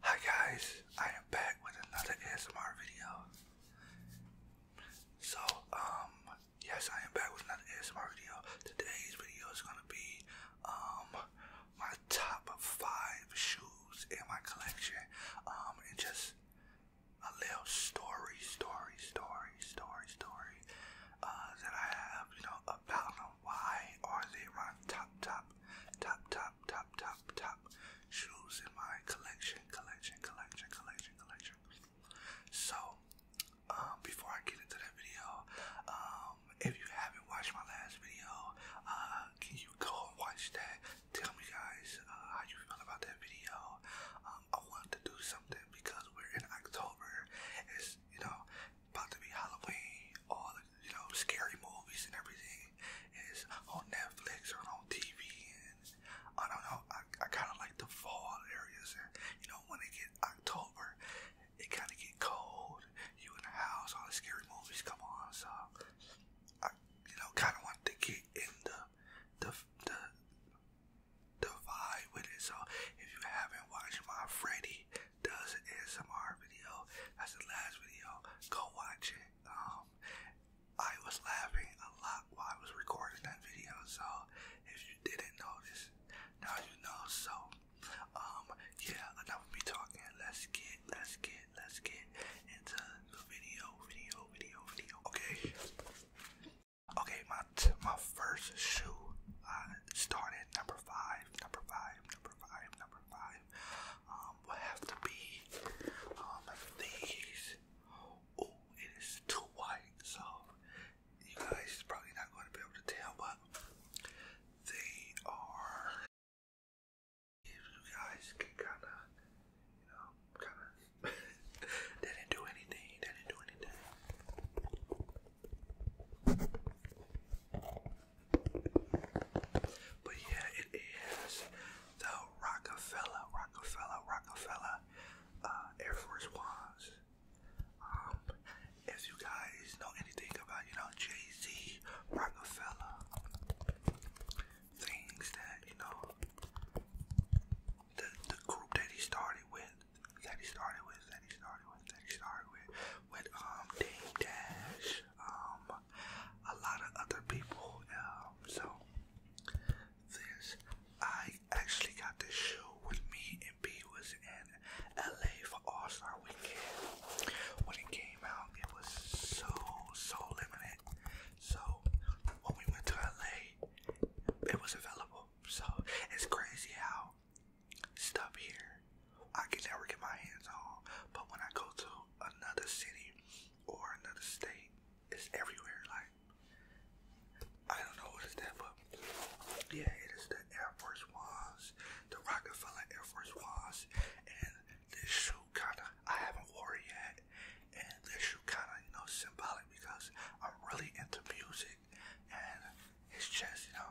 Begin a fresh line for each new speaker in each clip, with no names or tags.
Hi guys, I am back with another ASMR video. So, um, yes, I am back with another ASMR video. Today's video is gonna be, um, my Top of five shoes in my collection. Um, and just a little story, story, story, story, story, uh, that I have, you know, about Why are they my top, top, top, top, top, top, shoes in my collection, collection, collection, collection, collection. So, um, before I get into that video, um, if you haven't watched my last video, uh, can you go and watch that? tell me guys uh, how you feel about that video. Um, I wanted to do something because we're in October. It's you know about to be Halloween. All the you know scary movies and everything is on Netflix or on TV. And I don't know. I, I kind of like the fall areas. And you know when it get October, it kind of get cold. You in the house, all the scary movies come on. So I, you know, kind of wanted to get in the, the, the, the vibe with it. So if you haven't watched my Freddy Does ASMR video, that's the last video, go watch it. Um, I was laughing a lot while I was recording that video. So if you didn't notice, now you know. So, um, yeah, enough of me talking. Let's get, let's get it. Let's get into the video, video, video, video. Okay. Okay, my my first shoe uh, started number five, number five, number five, number five. Um, will have to be um these. Oh, it is too white, so you guys probably not going to be able to tell, but they are you guys kind of, you know, kind of. they didn't do anything. They didn't do anything. But yeah, it is the Rockefeller, Rockefeller, Rockefeller uh, Air Force Ones. Um, if you guys know anything about, you know, Jay Z, Rockefeller, things that you know the the group that he started with, that he started with, that he started with, that he started with, with um Dame Dash, um a lot of other people. Um, so this I actually got this shoe with me and B was in LA for All Star Weekend when it came it was so, so limited. So when we went to LA, it was available. So it's crazy how stuff here I can never get my hands on. But when I go to another city or another state, it's everywhere. Like, I don't know what is that, but yeah, it is the Air Force Ones, the Rockefeller Air Force Ones, and this shoe kind of, I haven't worn yet, and this shoe kind of, you know, symbolic because I'm really into music, and it's just, you know,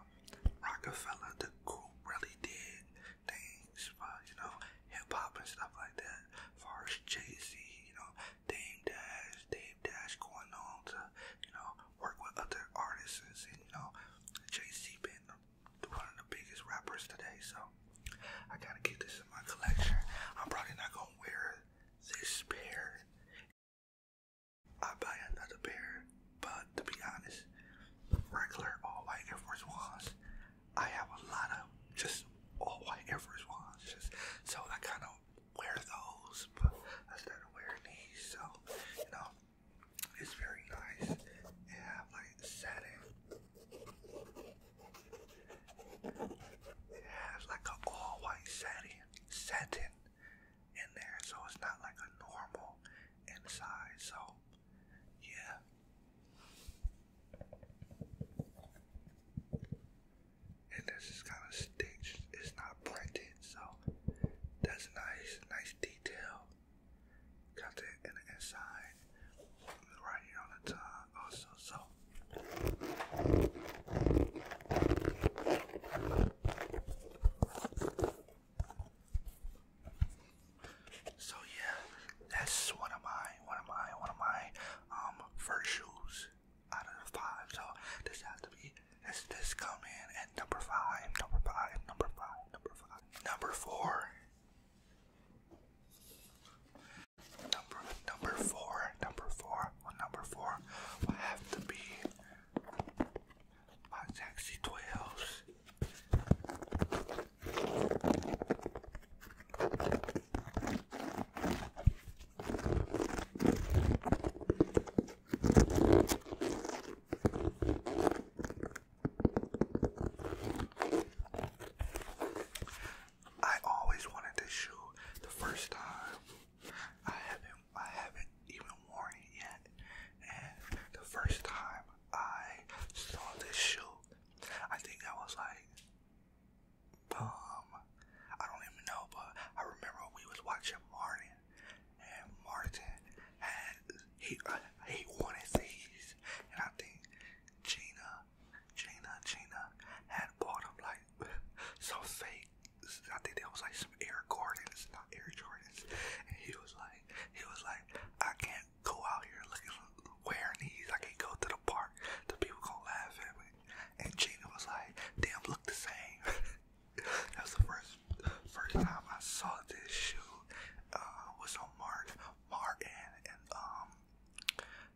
Rockefeller, the group really did things but you know, hip-hop and stuff like that, far as Jay-Z, you know, Dame Dash, Dame Dash going on to, you know, work with other artists, and, you know, Jay-Z been one of the biggest rappers today, so I gotta keep this in my collection. I'm probably not gonna wear this pair. I buy another pair, but to be honest, regular all white Air Force Ones. I have a lot of just all white Air Force Ones, just, so I kind of wear those, but I wearing these, so you know, it's very nice. It have like satin it has like a all-white satin, satin in there, so it's not like a normal inside. So, yeah. And this is kind of stitched. It's not printed, so that's nice. Nice detail. Got it in the inside right here on the tongue also so so yeah that's one of my one of my one of my um first shoes out of the five so this has to be this this come in at number five number five number five number five number four Number number four, number four, number four will have to be my sexy I always wanted this shoe the first time. I haven't I haven't even worn it yet. And the first time I saw this shoe, I think I was like um I don't even know, but I remember we was watching Martin and Martin had he uh, he wanted these and I think Gina, Gina, Gina had bought them like some fake. I think that was like some Air Jordans, not Air Jordans. And he was like, he was like, I can't go out here looking wearing these. I can't go to the park. The people gonna laugh at me. And Gina was like, damn, look the same. that was the first first time I saw this shoe. Uh, was on Mark Martin, and um,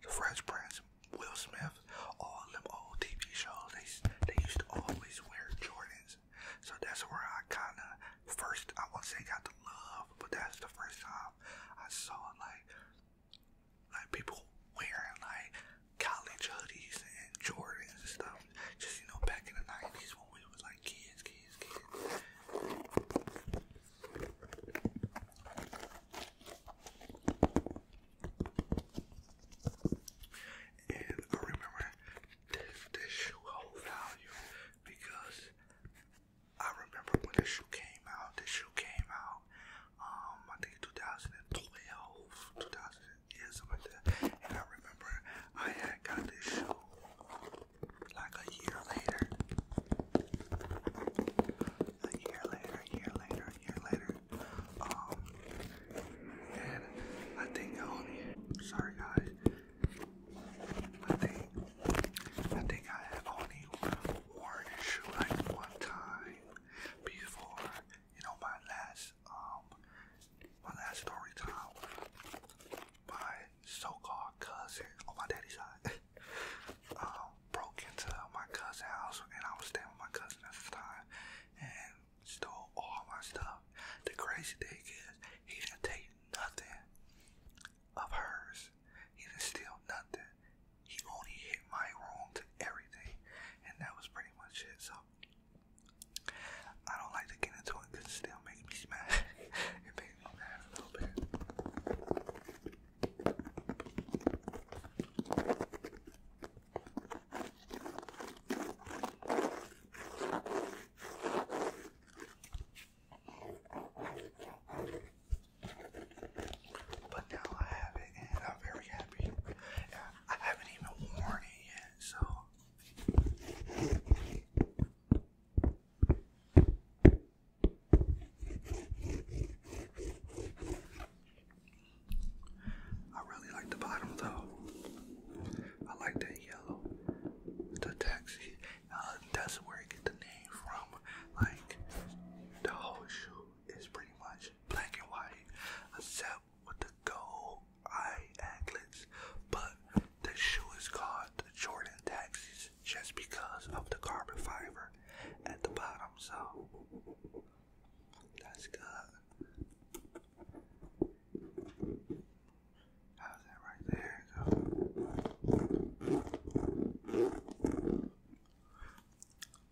the Fresh Prince, Will Smith, all them old TV shows. They they used to always wear Jordans, so that's where I kind of first I won't say got the love, but that's the first time I saw like like people wearing like college hoodies and Jordans and stuff. Just you know, back in the nineties when we was like kids, kids, kids. And I remember this, this shoe whole value because I remember when this shoe came out. This shoe came out, um, I think 2012, 2000, yeah, something like that. And I remember I had got this shoe like a year later. A year later, a year later, a year later. Um, and I think only. Sorry guys. I think I think I only worn a shoe like one time before. You know my last um my last story time. My so-called cousin on my daddy's side um, broke into my cousin's house, and I was staying with my cousin at the time, and stole all my stuff. The crazy thing is, he didn't take nothing of hers. He didn't steal nothing. He only hit my room to everything, and that was pretty much it. So I don't like to get into it because it still makes me mad. But now I have it and I'm very happy. I haven't even worn it yet, so. I really like the bottom though. I like that yellow. The taxi. Uh, that's where it get the name from. Like the whole shoe is pretty much black and white, except with the gold eye anklets. But the shoe is called the Jordan Taxis just because of the carbon fiber at the bottom, so that's good. How's that right there?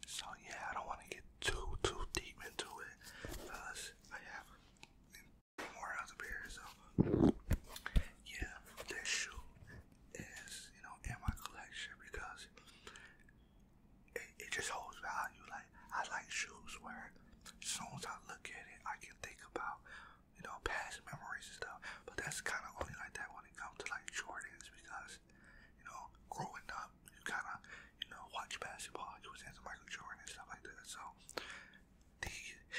So yeah, I don't want to get too too deep into it because I have more out of beer. So yeah, this shoe is you know in my collection because it, it just holds value. Like I like shoes where as soon as I look at it, I can think about you know past memories and stuff. But that's kind of only like that when it comes to like Jordans because you know growing up you kind of you know watch basketball. You was into Michael Jordan and stuff like that. So the,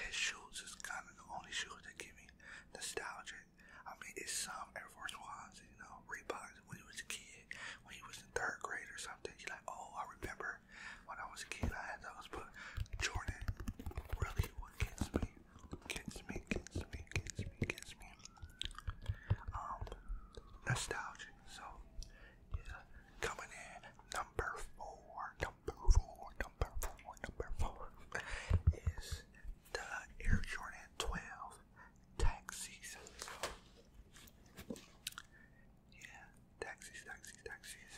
his shoes is kind of the only shoes that give me nostalgia. I mean, it's some Air Force Ones, you know, Reeboks. When he was a kid, when he was in third grade or something, you like, oh, I remember when I was a kid, I had those. But Jordan really what gets me, gets me, gets me, gets me, gets me. Um, nostalgia. So, yeah, coming in number four, number four, number four, number four is the Air Jordan 12 taxis. Yeah, taxis, taxis, taxis.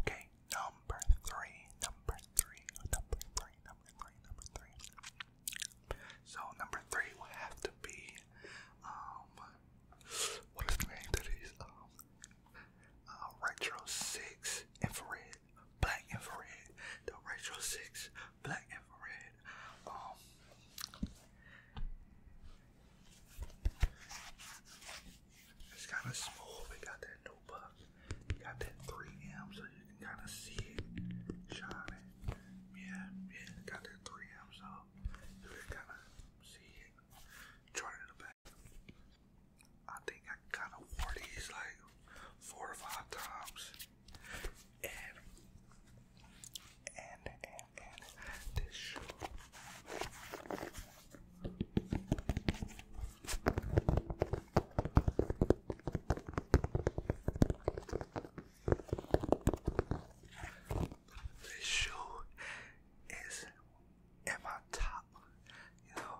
Okay, number three, number three, number three, number three, number three. So number three will have to be um what is the name that is? Um uh, Retro 6 infrared, black infrared, the Retro 6 black infrared. Um, it's kind of small. We got that new got that 3M, so you can kind of see it shining. Yeah, yeah, got that 3M, so you can kind of see it. Turn it like, I think I kinda wore these like four or five times. And and and and this shoe this shoe is and my top, you know,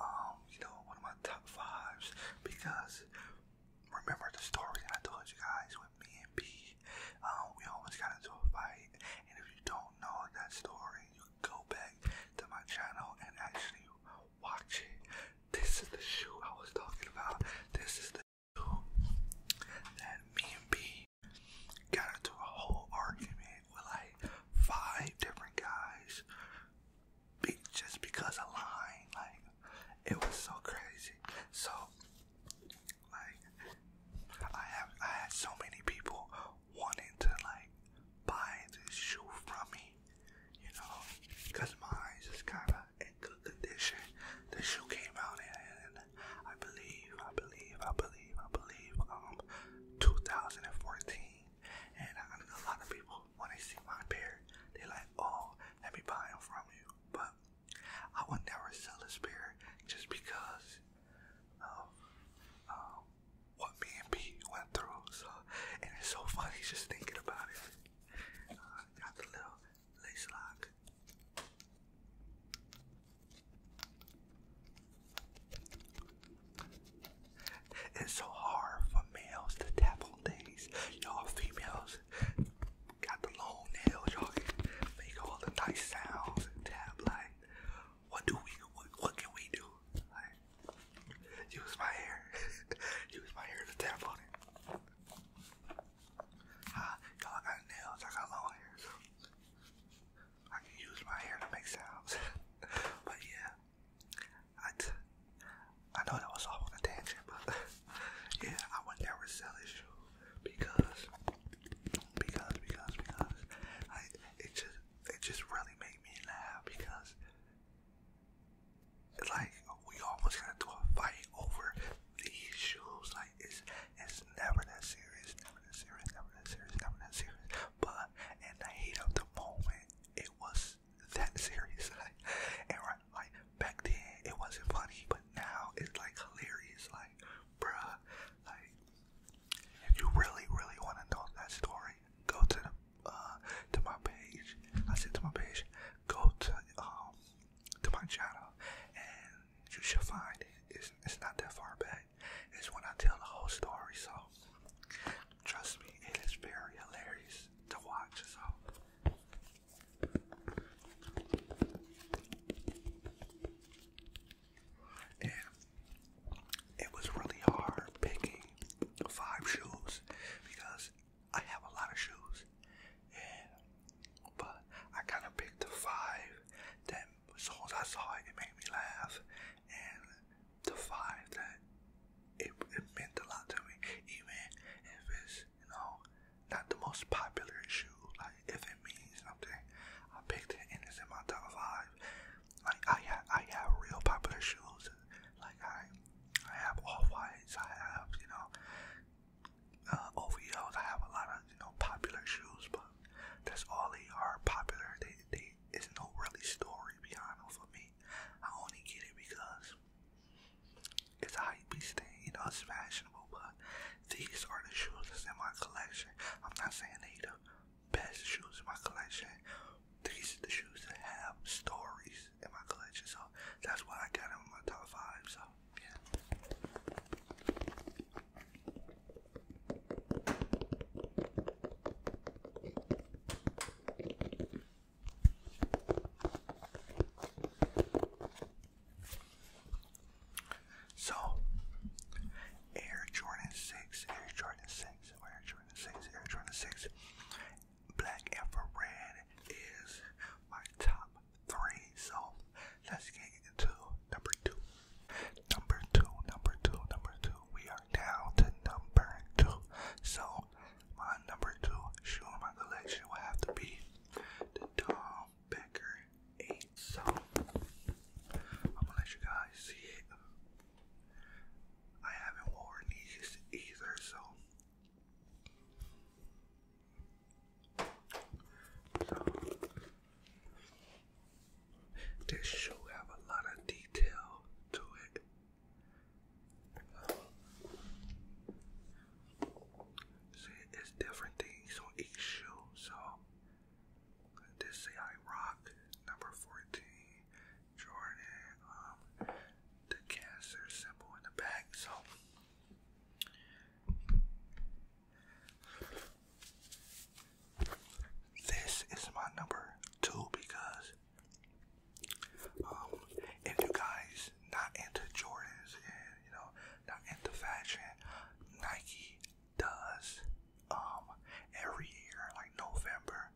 um, you know, one of my top fives because remember the story I told you guys with me and B, um, we almost got into a fight, and if you don't know that story, you go back to my channel and actually watch it. This is the shoe I was talking about. This is the shoe that me and B got into a whole argument with like five different guys just because of lying. Like, it was so crazy. So, like, I have I had so many people wanting to like buy this shoe from me, you know, because mine is kind of in good condition. The shoe came out and I believe, I believe, I believe. I believe, um, 2014. And a lot of people, when they see my pair, they like, oh, let me buy from you. But I would never sell a pair just because of um, what me and Pete went through. So, and it's so funny just thinking about it. Uh, got the little lace lock. It's so hard for males to tap on things. Y'all females got the long nails. Y'all make all the nice sounds and tap. Like, what do we? What, can we do? Like, use my hair. use my hair to tap on it. Huh? Y'all got nails. I got long hair. I can use my hair to make sounds. but yeah, I, t I know that was off on a tangent, but yeah, I would never sell this shoes because, because, because, because, I, it just, it just really made me laugh because, like, we almost got do a fight over these shoes. Like, it's, it's serious, never that serious, never that serious, never that serious, never that serious. But in the heat of the moment, it was that serious. and right, like back then, it wasn't funny, but now it's like hilarious. Like, bruh, like if you really, really want to know that story, go to the uh, to my page. I said to my page, go to um, to my channel, and you should find it. It's, it's not that far back that is when I tell the whole story. So trust me, it is very hilarious to watch. So. it was really hard picking five shoes because I have a lot of shoes. but I kind of picked the five and as soon I saw it, made me laugh. And the vibe that it, it meant a lot to me, even if it's, you know, not the most popular shoe. Like, if it means something, I picked it and it's in my top five. Like, I have, I have real popular shoes. Like, I, I have all whites, I have, you know, uh, OVOs, I have a lot of, you know, popular shoes, but that's all they are popular. They, they it's no really story behind it for me. I only get it because it's a hype beast thing, you know, it's fashionable, but these are the shoes that's in my collection. I'm not saying they the best shoes in my collection. These the shoes that have stories in my collection, so that's why I got them in my top five, so yeah. So, Air Jordan 6, Air Jordan 6, Air Jordan 6, Air Jordan 6, Black red is my top three. So, let's get into number two. Number two, number two, number two. We are down to number two. So my number two shoe in my collection will have to be the Tom Becker 8. So I'm gonna let you guys see it. I haven't worn these either, so so this shoe have a lot of detail to it. Uh, see, it's different things on each shoe. So, this say I rock number fourteen, Jordan. Um, the cancer symbol in the back. So, this is my number two because um, if you guys not into Jordans you know not into fashion, Nike does um, every year like November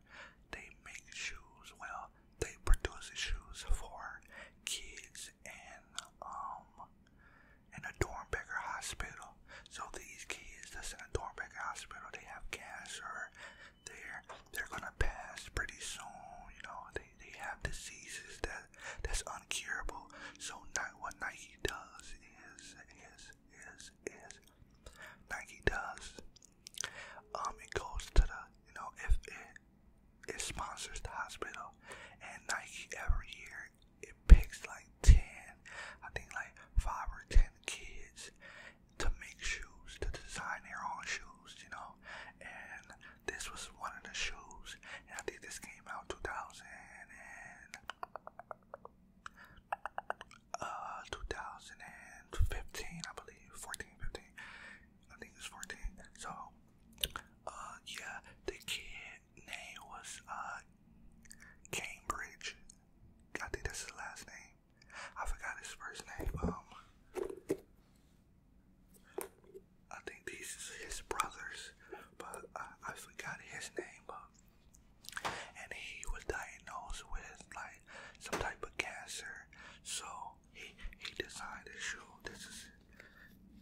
they make shoes. Well, they produce shoes for kids and um in a Dornbecker hospital. So these kids that's in a Dornbecker hospital, they have cancer. They're they're gonna pass pretty soon. You know, they they have diseases that that's uncurable. So not what Nike does is is is is Nike does. Um, it goes to the you know if it it sponsors the hospital, and Nike every year there, it picks like 10, I think like 5 or 10 kids to make shoes, to design their own shoes, you know. And this was one of the shoes, and I think this came out 2000 and uh 2015, I believe, 14, 15. I think it's 14. So, uh, yeah, the kid name was uh Cambridge. I think that's his last name. I forgot his first name. Um I think these is his brothers, but I, I forgot his name. Um, and he was diagnosed with like some type of cancer. So he he designed this shoe. This is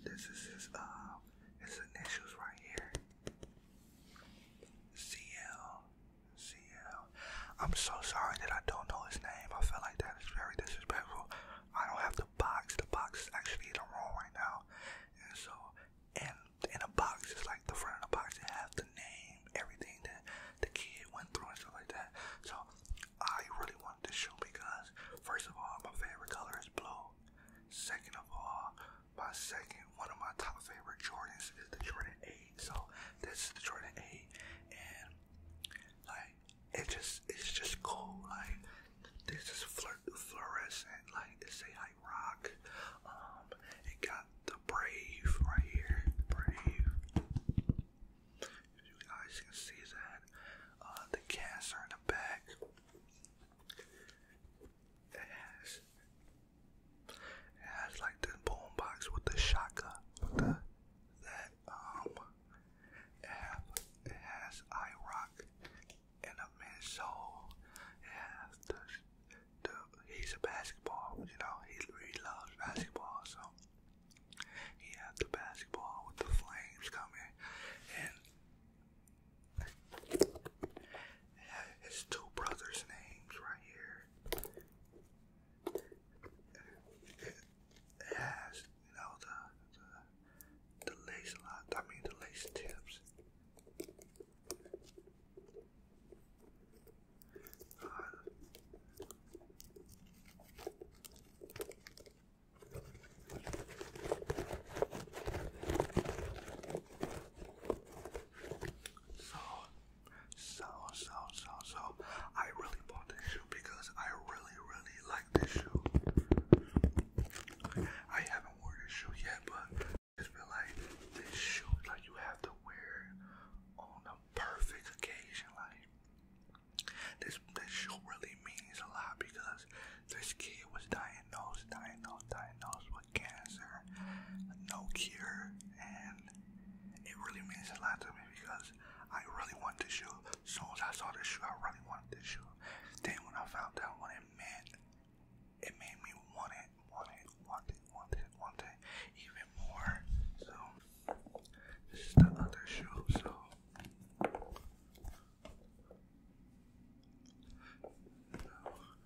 this is his uh his initials right here. CL. CL. I'm so sorry that I don't know his name. I feel like that is very disrespectful. I don't have the box. The box is actually in the room right now. And so, and in a box, it's like the front of the box, it has the name, everything that the kid went through and stuff like that. So, I really want this shoe because, first of all, my favorite color is blue. Second of all, my second, one of my top favorite Jordans is the Jordan 8. So this is the Jordan 8, and like it just, it's just cool. Like this is flir fluorescent. Like they say I rock. Um, it got the Brave right here. Brave. you guys can see that, uh, the cancer in the back. It has, it has like the boom box with the shotgun, that, um, it, have, it has and a midsole. It has the, the, he's a basketball, you know, he really loves basketball, so he has the basketball with the flames coming and his two brothers' names right here. It you know, the the, the lace lot. I mean, the lace tips. So, so, so, so, so, I really bought this shoe because I really, really like this shoe. I haven't worn this shoe yet, but I just feel like this shoe, like you have to wear on a perfect occasion. Like this, this shoe really means a lot because this kid was diagnosed, diagnosed, diagnosed with cancer, no cure, and it really means a lot to me because I really wanted this shoe. As soon as I saw this shoe, I really wanted this shoe. Then when I found out what it meant, it made me want it, want it, want it, want it, want it even more. So this is the other shoe. So 14.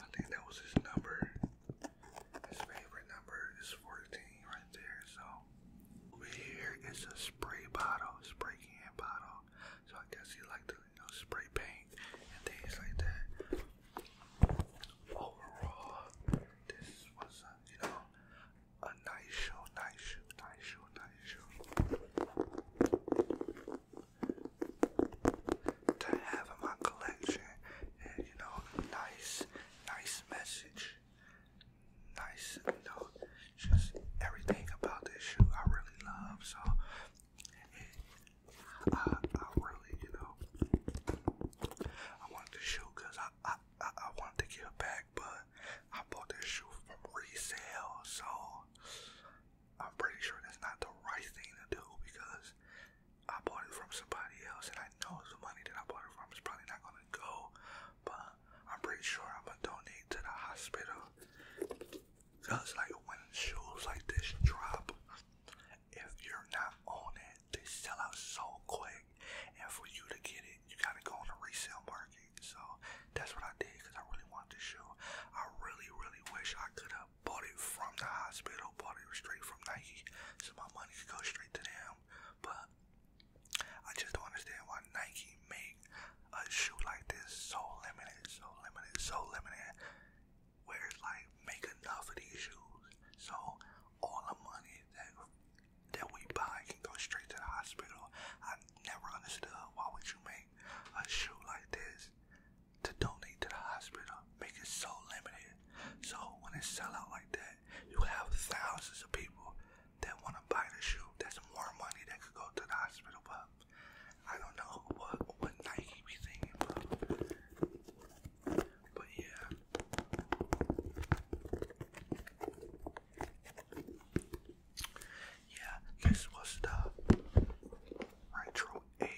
I think that was his number. His favorite number is 14 right there. So, over here is a spray bottle, spray can bottle. So, I guess he liked to you know, spray paint and things like that. Overall, this was you know, a nice show, nice show, nice show, nice show. To have in my collection, and you know, nice, nice message, nice, you know, just everything about this shoe I really love. So, I, I really, you know, I want the shoe because I, I, want to give back, but I bought this shoe from resale, so I'm pretty sure that's not the right thing to do because I bought it from somebody else, and I know the money that I bought it from is probably not gonna go, but I'm pretty sure I'm gonna donate to the hospital. Cause like when shoes like this drop, if you're not on it. They sell out so quick, and for you to get it, you gotta go on the resale market. So that's what I did because I really wanted this shoe. I really, really wish I could have bought it from the hospital, bought it straight from Nike, so my money could go straight to them. But I just don't understand why Nike make a shoe like this so limited, so limited, so limited. Where's like make enough of these shoes, so all the money that that we buy can go straight to the hospital. I never understood why would you make a shoe like this to donate to the hospital. Make it so limited. So when it sell out like that, you have thousands of people that want to buy the shoe. That's more money that could go to the hospital. But I don't know what what Nike be thinking, but but yeah, yeah, this was the Retro A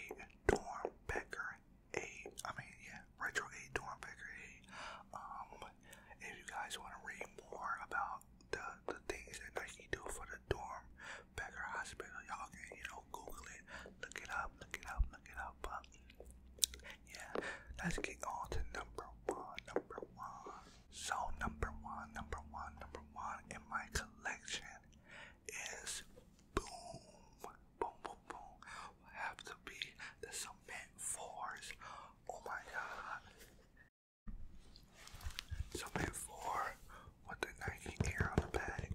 Dorm Becker A. I mean, yeah, Retro A Dorm Becker A. Um, if you guys want to read more about the, the things that Nike do for the dorm Becker Hospital, y'all can, you know, Google it, look it up, look it up, look it up. But yeah, let's get on to number one, number one. So number one, number one, number one in my collection is boom, boom, boom, boom. Will have to be the cement fours. Oh my god. Cement four with the Nike air on the back.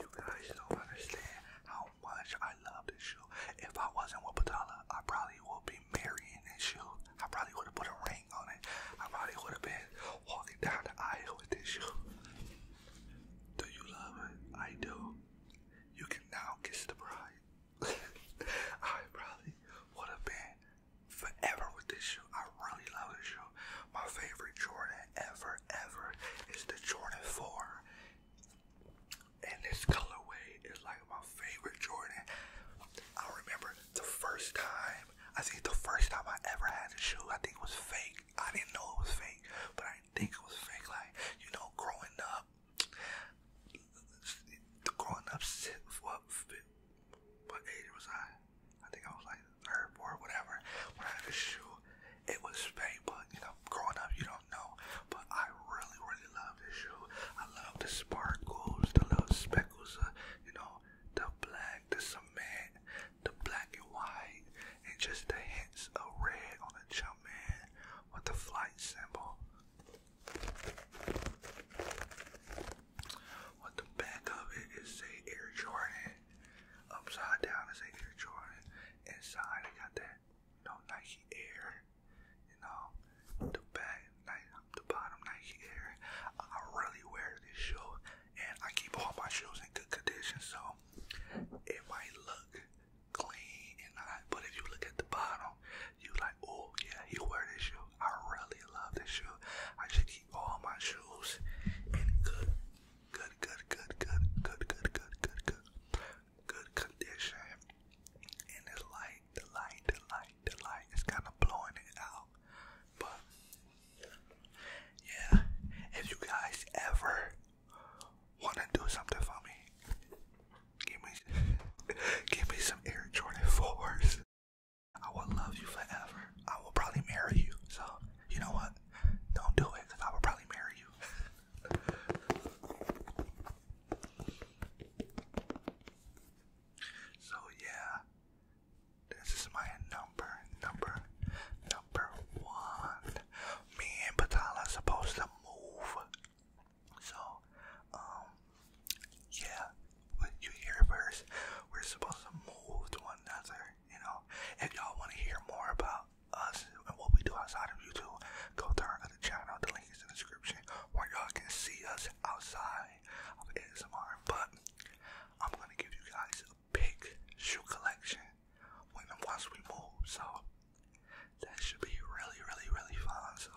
You guys don't understand how much I love this shoe. If I wasn't with Patala, I probably would be marrying this shoe. I probably would have put a ring on it. I probably would have been walking down the aisle with this shoe. Do you love it? I do. You can now kiss the bride. I probably would have been forever with this shoe. I really love this shoe. My favorite Jordan ever, ever is the Jordan 4. And this colorway is like my favorite Jordan. I remember the first time, I think the first time I ever had a shoe, I think it was fake. I didn't know it was fake, but I didn't think it was fake. Like, you know, growing up, growing up, what, what age was I? I think I was like third or whatever. When I had a shoe, it was fake, but you know, growing up, you know do but I really, really love this shoe. I love the sparkles, the little speckles, of, uh, you know, the black, the cement, the black and white, and just the hints of red on the jump man with the flight symbol. On the back of it is a Air Jordan. Upside down is a Air Jordan. Inside, I got that you know, Nike Air, you know, the back, the bottom Nike Air. I really wear this shoe, and I keep all my shoes in good condition, so it might look clean and not. But if you look at the bottom, you like, oh yeah, he wear this shoe. I really love this shoe. I should keep all my shoes in good, good, good, good, good, good, good, good, good, good, good condition. And the light, the light, the light, the light is kind of blowing it out. But yeah, if you guys ever want to do something for me, give me, give me some Air Jordan fours. I will love you forever. I will probably marry you. So you know what? Don't do it, cause I will probably marry you. So yeah, this is my number, number, number one. Me and Patala supposed to move. So, um, yeah, what you hear first, we're supposed to move to one another. You know, if y'all want to hear more about us and what we do outside of YouTube, go to our other channel. The link is in the description where y'all can see us outside of ASMR. But I'm gonna give you guys a big shoe collection when once we move. So that should be really, really, really fun. So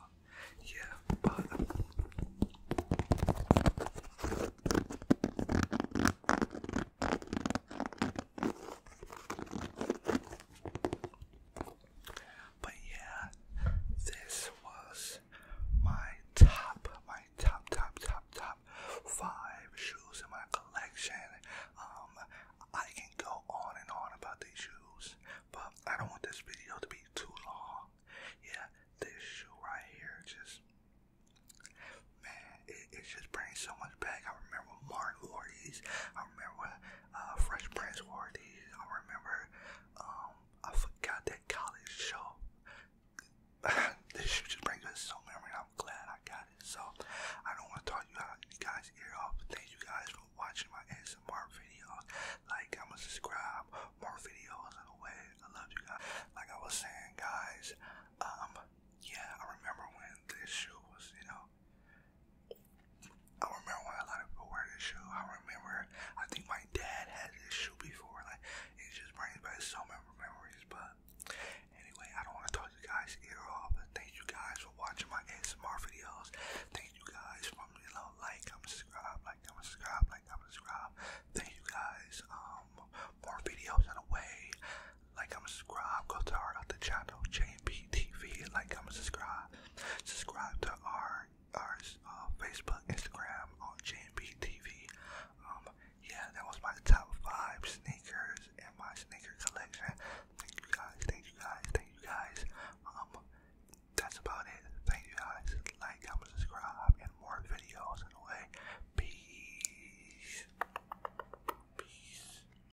yeah, but. But yeah, this was my top, my top, top, top, top five shoes in my collection. Um, I can go on and on about these shoes, but I don't want this video to be too long. Yeah, this shoe right here just man, it, just brings so much back. I remember Martin wore I remember uh, Fresh Prince Worthy. I remember um, I forgot that college show. this show just brings us so memory. I'm glad I got it. So I don't want to talk you guys ear off. Thank you guys for watching my ASMR videos. Like, I'ma subscribe more videos on the way. I love you guys. Like I was saying, guys. Um, yeah, I remember when this shoe was, you know, I remember when a lot of people wear this shoe. I remember, I think my dad had this shoe before. Like, it just brings back so many memories. But anyway, I don't want to talk you guys ear off. But thank you guys for watching my ASMR videos. Thank you guys for you know, like, comment, subscribe, like, comment, subscribe, like, comment, subscribe. Thank you guys. Um, more videos on the way like I'm Go to our other channel, JMP TV. Like i subscribe. Subscribe to our our uh, Facebook, Instagram on uh, JMP TV. Um, yeah, that was my top five sneakers in my sneaker collection. Thank you guys. Thank you guys. Thank you guys. Um, that's about it. Thank you guys. Like, comment, subscribe, and more videos in a way. Peace. Peace.